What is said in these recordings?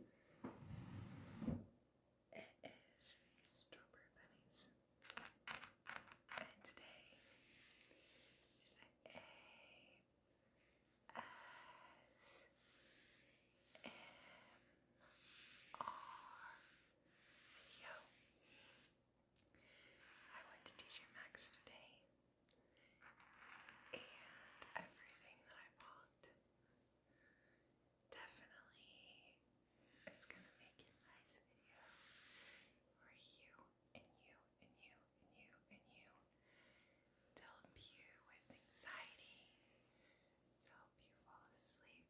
YouTube. It is Strawberry And today is the video. I went to teacher Max today and everything that I bought definitely is gonna make a nice video for you and you and you and you and you help you with anxiety, help you fall asleep,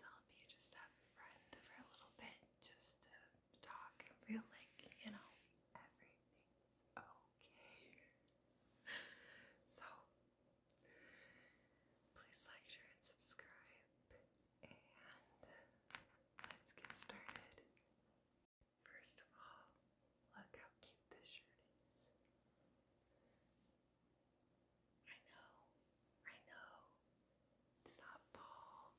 help you just have a for a little bit, just talk and feel like, you know, everything's okay. so, please like, share, and subscribe, and let's get started. First of all, look how cute this shirt is. I know, I know, it's not fall,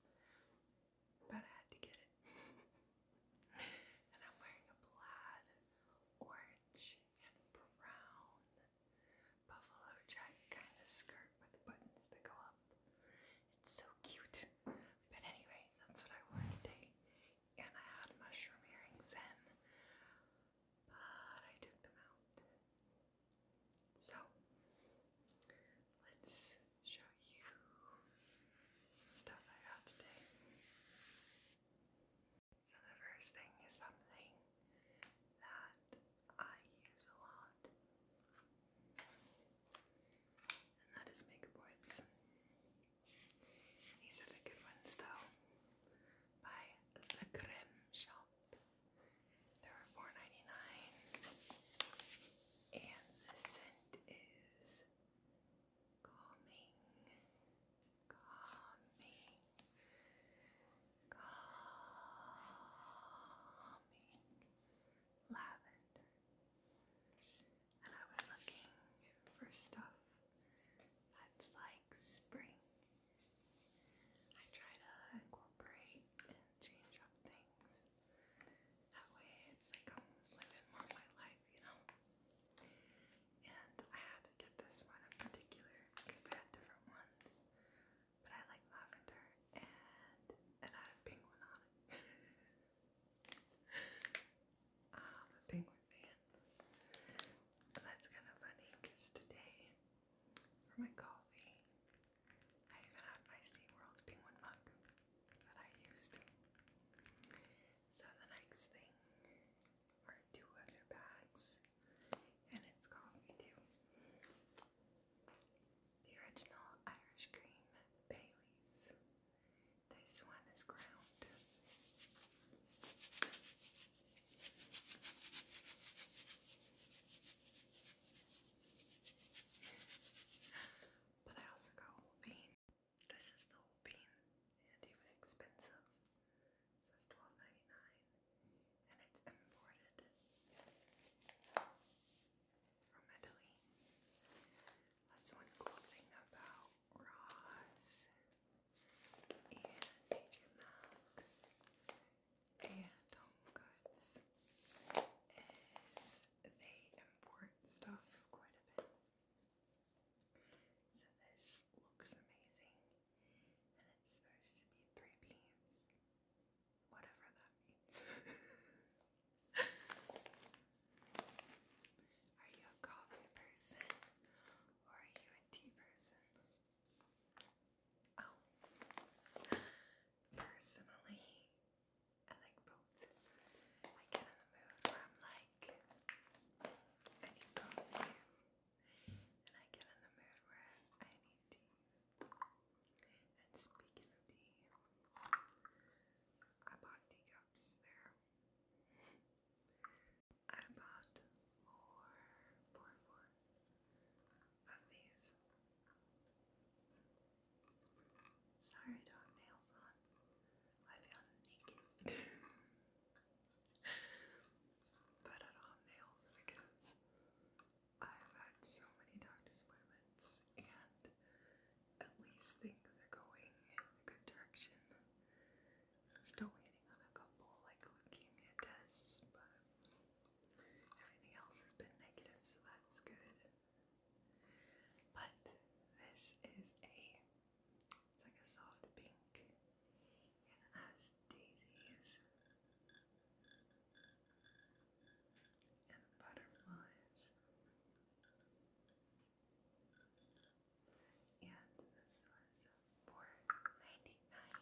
but I had to get it. and I'm wearing a plaid, orange, and brown buffalo jacket kind of skirt with buttons that go up. It's so cute. But anyway, that's what I wore today. And I had mushroom earrings in, but I took them out. So, let's show you some stuff I got today. So the first thing is something that I use a lot, and that is makeup boards. These are the good ones though, by the Creme Shop. They were $4.99 and the scent is calming, calming, calming lavender. And I was looking for stuff that's like spring. I try to incorporate and change up things that way it's like I'm living more of my life, you know? And I had to get this one in particular because they had different ones. But I like lavender and it had a penguin on it. I'm penguin fan. that's kind of funny because today, for my coffee, I even have my SeaWorld penguin mug that I used. So the next thing are two other bags, and it's coffee The original Irish cream Bailey's. This one is ground. But I also got whole bean. This is the whole bean, and it was expensive. So it's twelve ninety nine, and it's imported from Italy. That's one cool thing about Ross and TJ Maxx and Home Goods they import stuff quite a bit. So this looks amazing, and it's supposed to be three beans, whatever that means. are you a coffee person or are you a tea person? Oh, personally, I like both. I get in the mood where I'm like, I need coffee. And I get in the mood where I need tea. And speaking of tea, I bought teacups there. I bought four, four, four of these. Sorry, I nails on. I feel naked. but I don't have nails because I've had so many doctor's appointments and at least things are going in a good direction. still waiting on a couple like leukemia tests, but everything else has been negative, so that's good. But this is a it's like a soft pink and has daisies and butterflies. And this was for ninety nine.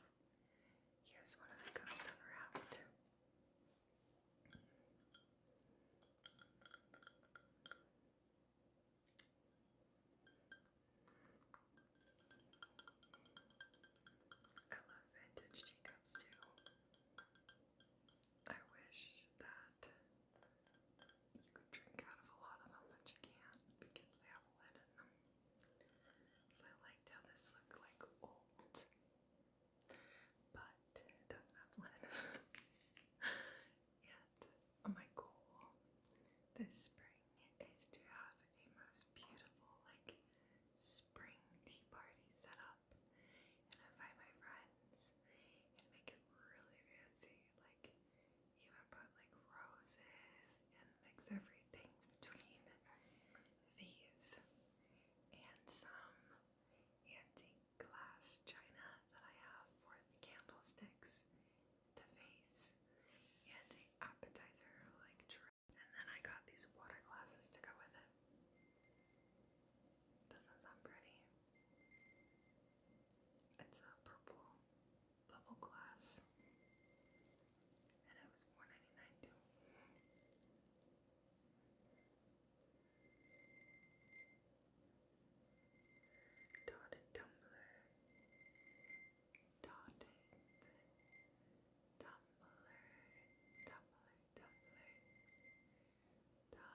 Here's one of the coats unwrapped. I love vintage teacups too. I wish that you could drink out of a lot of them, but you can't because they have a in them. So I liked how this looked like old but it doesn't have lid yet. Oh my goal this spring is to have a most beautiful, like, spring tea party set up and invite my friends and make it really fancy. Like, even put like roses and mix everything between these and some antique glass china that I have for the candlesticks, the vase, and an appetizer like tray. And then I got these water glasses to go with it. Doesn't sound pretty. It's a purple bubble glass. And it was $4.99 too. Dotted tumbler, dotted tumbler, tumbler, tumbler, tumbler. I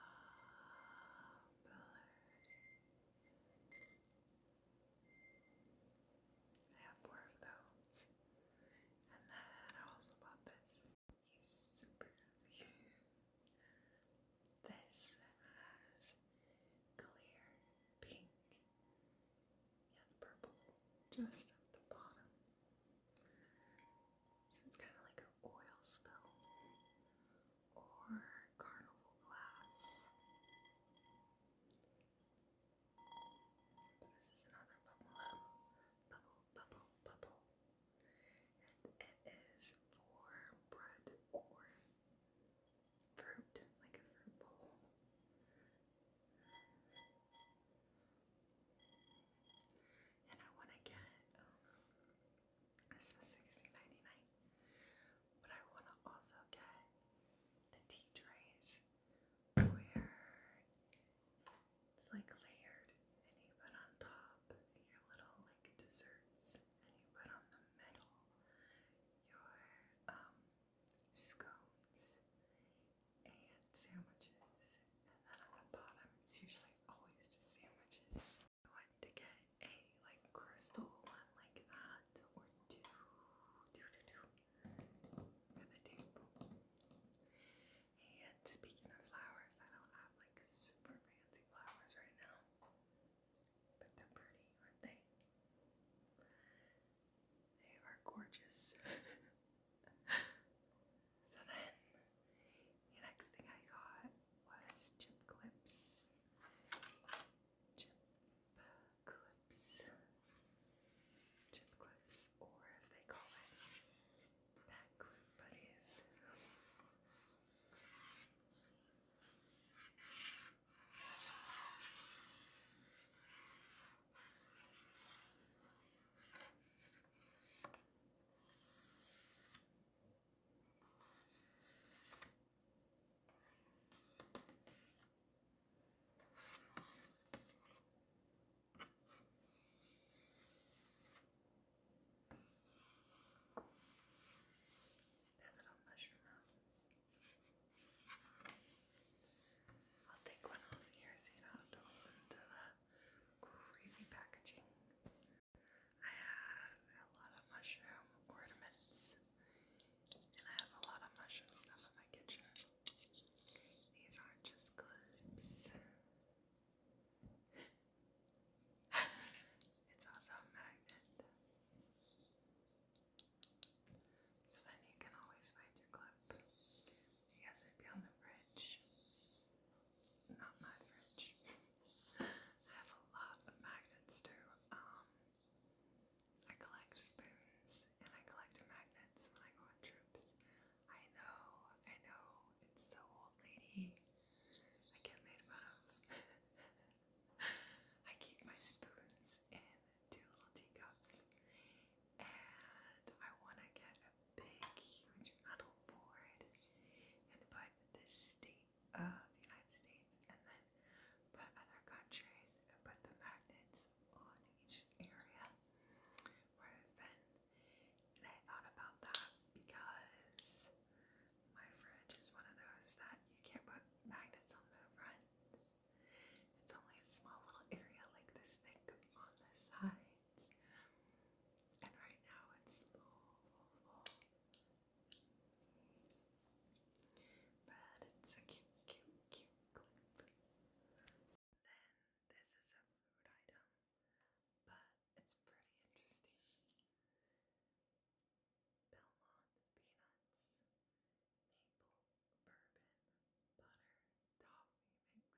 have four of those, and then I also bought this super heavy. This has clear pink and purple just at the bottom. So it's kind of like an oil spill or carnival glass. But this is another bubble, bubble, bubble, bubble, and it is for bread or fruit, like a fruit bowl. And I want to get, this um, was 16 but I want to also get the tea trays where it's like layered, and you put on top your little like desserts, and you put on the middle your um, scones and sandwiches, and then on the bottom it's usually always just sandwiches. I want to get a like crystal one like that, or two, two, two, two for the table. And speaking of flowers, I don't have like super fancy flowers right now, but they're pretty, aren't they? They are gorgeous. so then, the next thing I got was chip clips. Chip clips. Chip clips, or as they call it, Backward buddies they little mushroom houses. I'll take one off here so you don't the crazy packaging. I have a lot of mushroom ornaments, and I have a lot of mushroom stuff in my kitchen. These aren't just clips it's also a magnet. So then you can always find your clip. Yes, it'd be the fridge. Not my fridge. I have a lot of magnets too. Um, I collect spoons and I collect magnets when I go on trips. I know, I know, it's so old lady. I get made fun of. I keep my spoons in two little teacups. And I want to get a big, huge metal board and put the state of the United States and then put other countries and put the magnets on each area where there's been and I thought about that because my fridge is one of those that you can't put magnets on the front. It's only a small little area like this thing on the sides. And right now it's full, But it's a cute, cute, cute clip. Then this is a food item, but it's pretty interesting. Belmont peanuts, maple bourbon, butter, toffee mix.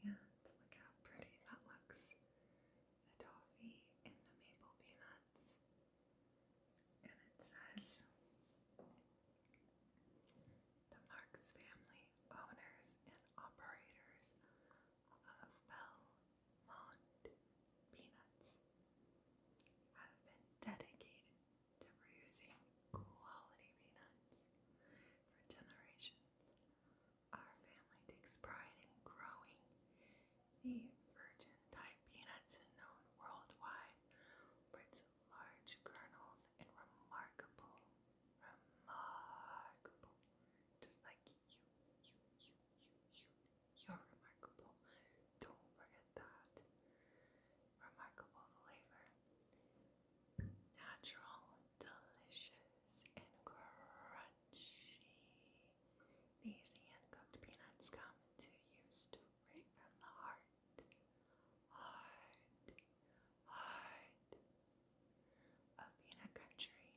And look how pretty that looks. The toffee and the maple peanuts. And it says the Marks family owners and operators of Belmont peanuts have been dedicated to producing quality peanuts for generations our family takes pride in growing the virgin type peanuts known worldwide for its large kernels and remarkable, remarkable, just like you, you, you, you, you, you're remarkable. Don't forget that. Remarkable flavor. Natural delicious and crunchy. These hand-cooked peanuts come to you straight from the heart. Heart, heart of peanut country.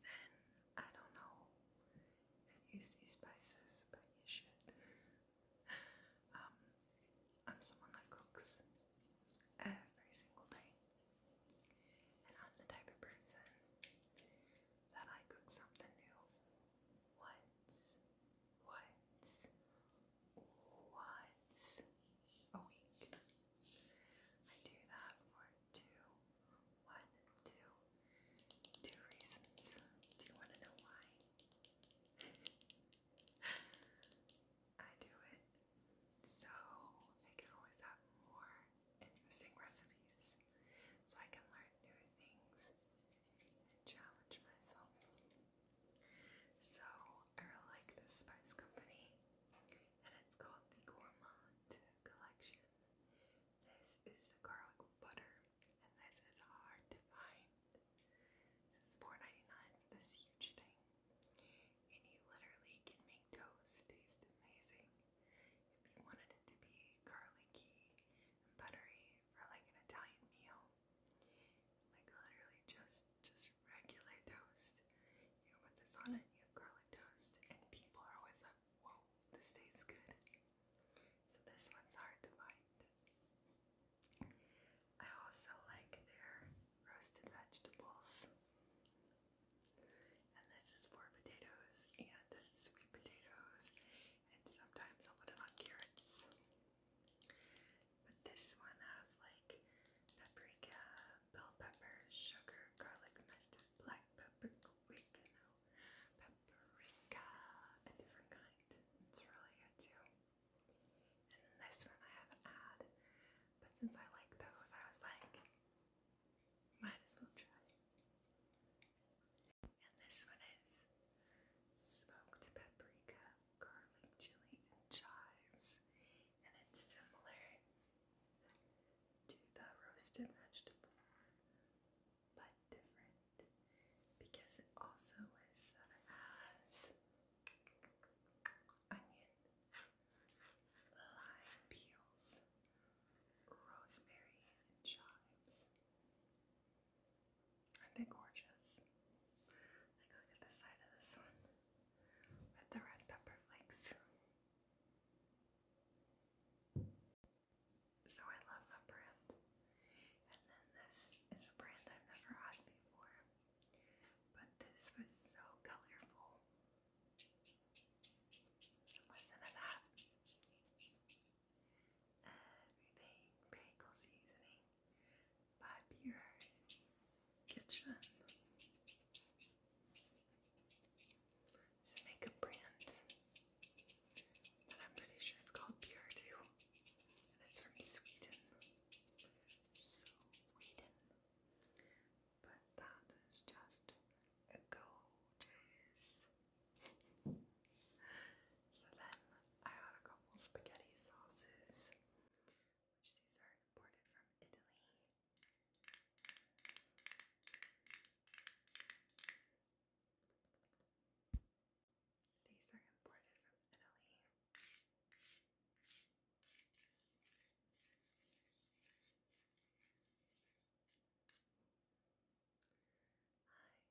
Then, I don't know if you see spices, but you should. um, I'm someone that cooks every single day. And I'm the type of person that I cook something new once, once, once a week. I do that for two, one, two, two reasons. Do you want to know why? I do it so I can always have more interesting recipes so I can learn new things and challenge myself. So I like this spice company and it's called the Gourmand Collection. This is the garlic butter and this is hard to find. This is 4 for this huge thing. And you literally can make toast taste amazing. If you wanted it to be garlicky and buttery for like an Italian meal, like literally just just regular toast. You put this on it, you garlic toast, and people are like, whoa, this tastes good. So this one's hard to find. I also like their roasted vegetables. And this is for potatoes and sweet potatoes, and sometimes i put it on carrots. But this one has like paprika, bell pepper, sugar, garlic mustard, black pepper, oregano, paprika, a different kind. It's really good too. And this one I have an ad, but since I like those, I was like, might as well try. And this one is smoked paprika, garlic chili, and chives. And it's similar to the roasted vegetable, but different because it also is has onion lime peels, rosemary, and chives. are gorgeous? look at the side of this one with the red pepper flakes. So, I love that brand. And then this is a brand I've never had before. But this was so colorful. Listen to that. Everything bagel seasoning by Pure Kitchen. makeup brand that I'm pretty sure it's called Pure too. It's from Sweden. Sweden. But that is just gorgeous. so then I had a couple spaghetti sauces, which these are imported from Italy. These are imported from Italy. I-T-A-L-Y.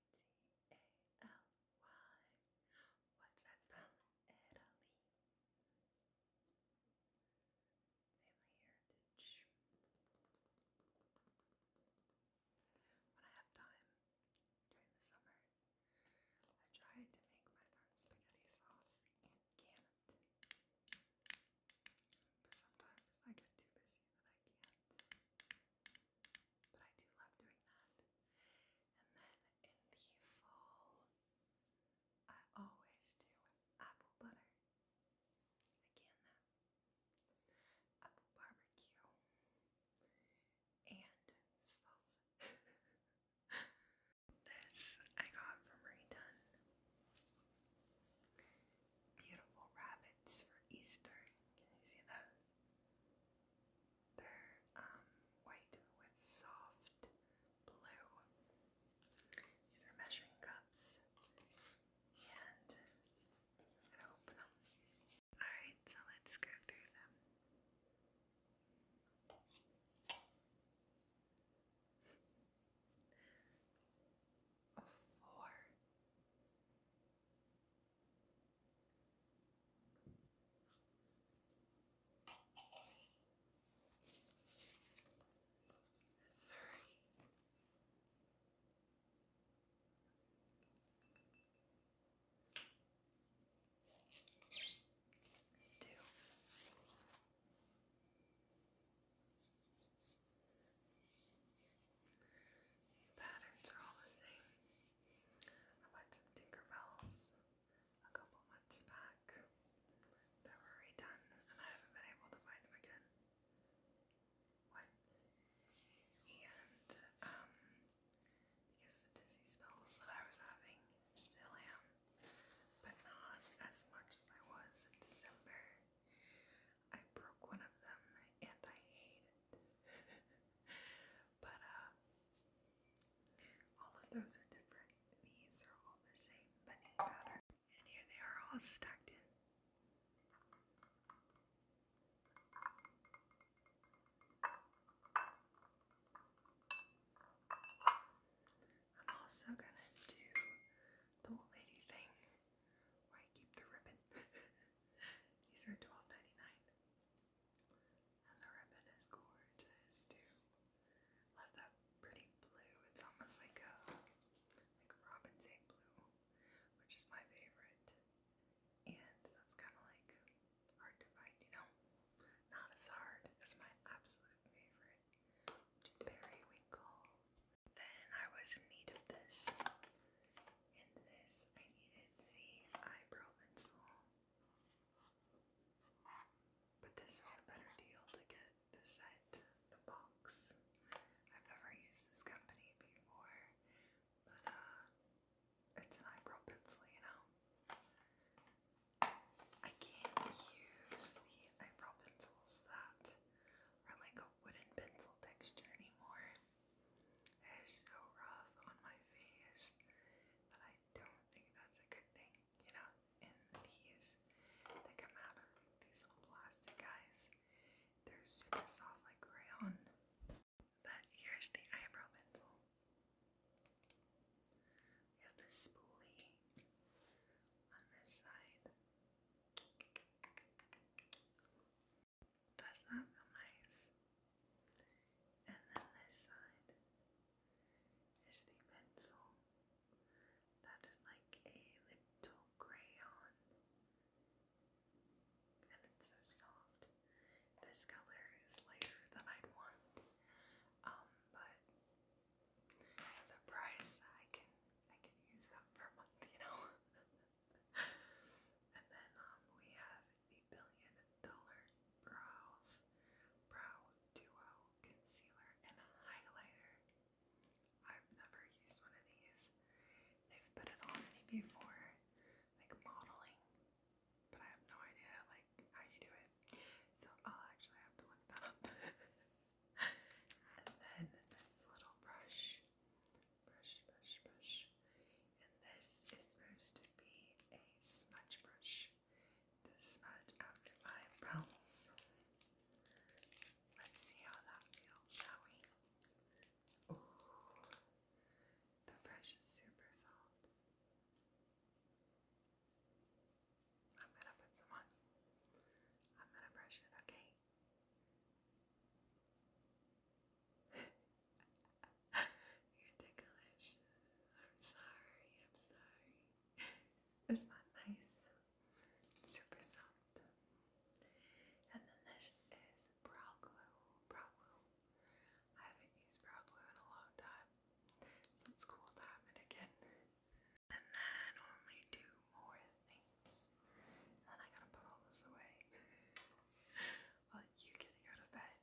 What's that spell? Italy. Family heritage. When I have time during the summer, I tried to make my own spaghetti sauce and can't. But sometimes I get too busy that I can't. But I do love doing that. And then in the fall, I always do apple butter. Again, that apple barbecue and salsa. This I got from Rayton. Beautiful rabbits for Easter. Can you see that? They're um, white with soft blue. These are measuring cups. And I'm gonna open them. Alright, so let's go through them a four, three do. The patterns are all the same. I bought some Tinkerbells a couple months back that were redone and I haven't been able to find them again. What? And, um, because the dizzy spells that I was having still am, but not as much as I was in December. I broke one of them and I hate it. but uh all of those are different. These are all the same bunny pattern. And here they are all stacked in. I'm also gonna do the old lady thing where I keep the ribbon. These are $12.99. And the ribbon is gorgeous too. Love that pretty blue. It's almost like a like Robin's egg blue, which is my favorite. And that's kinda like hard to find, you know? Not as hard as my absolute favorite, periwinkle. Then I was in this. And this, I needed the eyebrow pencil. But this was a better deal to get the set, the box. I've never used this company before, but uh, it's an eyebrow pencil, you know. I can't use the eyebrow pencils that are like a wooden pencil texture anymore. It is so rough on my face that I don't think that's a good thing, you know. And these they come out of these little plastic guys. They're super soft like crayon. But here's the eyebrow pencil. We have the spoolie on this side. Does that feel nice? And then this side is the pencil that is like a little crayon, and it's so soft. This color is lighter than I'd want, um, but the price I can I can use that for a month, you know. and then um, we have the billion dollar brows brow duo concealer and highlighter. I've never used one of these. They've put it on me before, like modeling, but I have no idea like how you do it. So I'll actually have to look that up. and then this little brush, brush, brush, brush, and this is supposed to be a smudge brush to smudge out my eyebrows. Let's see how that feels, shall we? Ooh, the brush is super soft. I'm gonna put some on. I'm gonna brush it, okay? You're ticklish. I'm sorry, I'm sorry. There's that nice, super soft. And then this brow glue, brow glue, I haven't used brow glue in a long time, so it's cool to have it again. And then only two more things. then I gotta put all this away. well, you get to go to bed.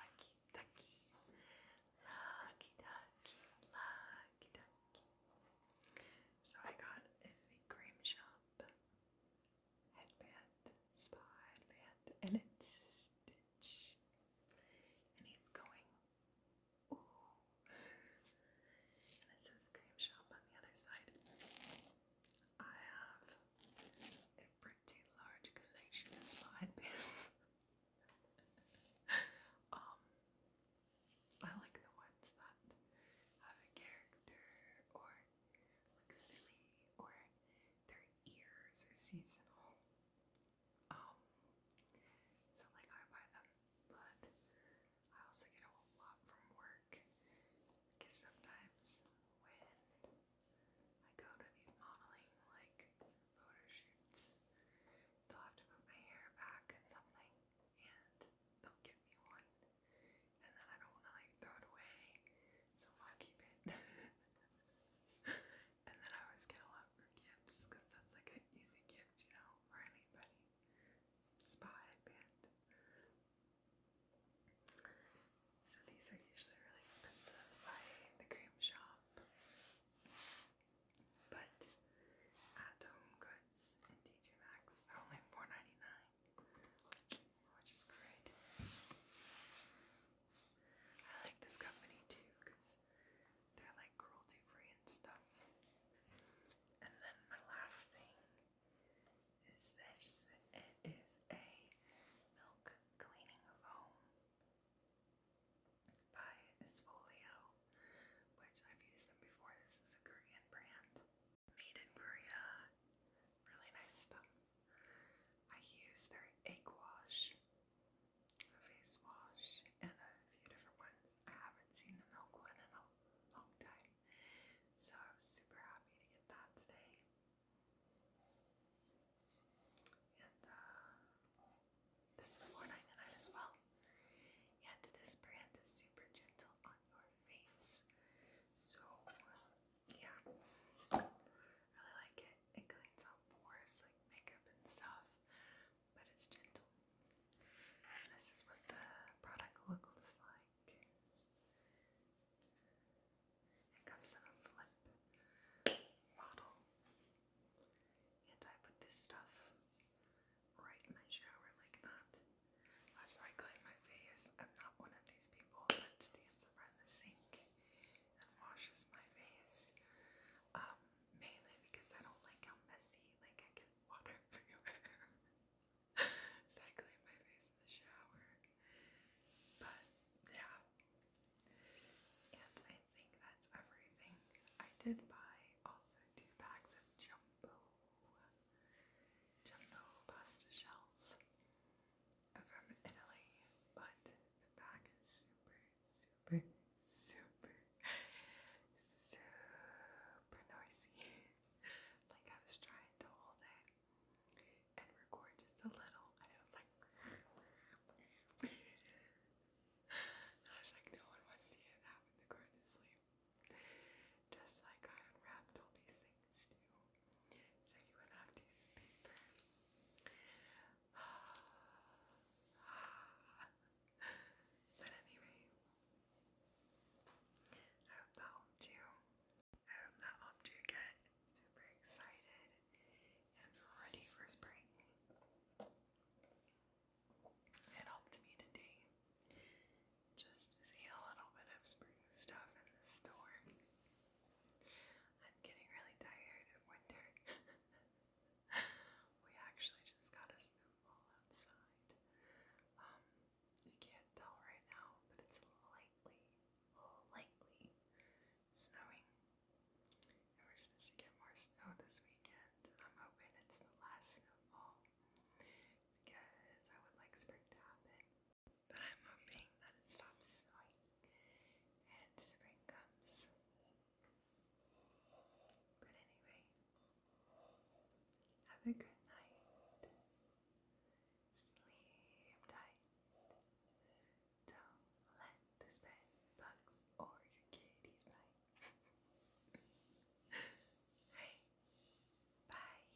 Lucky ducky. Lucky ducky. Lucky ducky. So I got in the cream shop headband, spa headband, and it's Stitch. And he's going, ooh. and it says cream shop on the other side. I have a pretty large collection of spa headbands. um, I like the ones that have a character or look silly or they're ears are seasonal. Um, so like I buy them, but I also get a lot from work because sometimes when I go to these modeling like photo they'll have to put my hair back and something, and they'll give me one, and then I don't want to like throw it away, so i keep it. and then I always get a lot for gifts because that's like an easy gift, you know, for anybody. Spa headband. So these are usually really expensive by the cream shop. But at Home Goods and TJ Maxx, are only 4 which is great. I like this company too because they're like cruelty free and stuff. And then my last thing is this. It is a milk cleaning foam by Esfolio, which I've used them before. This is a Korean brand. Made in Korea really nice stuff. I use their egg wash, a face wash, and a few different ones. I haven't seen the milk one in a long time, so I was super happy to get that today. And uh, this is $4.99 as well. And this brand is super gentle on your face, so uh, yeah, I really like it. It cleans out pores like makeup and stuff, but it's gentle. this is what the product looks like. It comes in a flip bottle, and I put this stuff right in my shower like that. That's I clean my face. I'm not one of these people that stands gets the sink and washes my face. Um, mainly because I don't like how messy, like I get water everywhere. so I clean my face in the shower. But yeah. And I think that's everything. I did buy also two packs of jumbo jumbo pasta shells from Italy, but the bag is super, super, super, super noisy. like I was trying to hold it and record just a little, and it was like, I was like, no one wants to hear that when they're going to Just like I unwrapped all these things things So you would have to but anyway, I hope that helped you. I hope that helped you get super excited and ready for spring. It helped me today just to see a little bit of spring stuff in the store. I'm getting really tired of winter. we actually just got a snowfall outside. Um, can't tell right now, but it's lightly, lightly snowing. And we're supposed to get more snow this weekend. I'm hoping it's the last snowfall because I would like spring to happen. But I'm hoping that it stops snowing spring comes. But anyway, have a good night. Sleep tight. Don't let this bed or your kitties bite. hey, bye.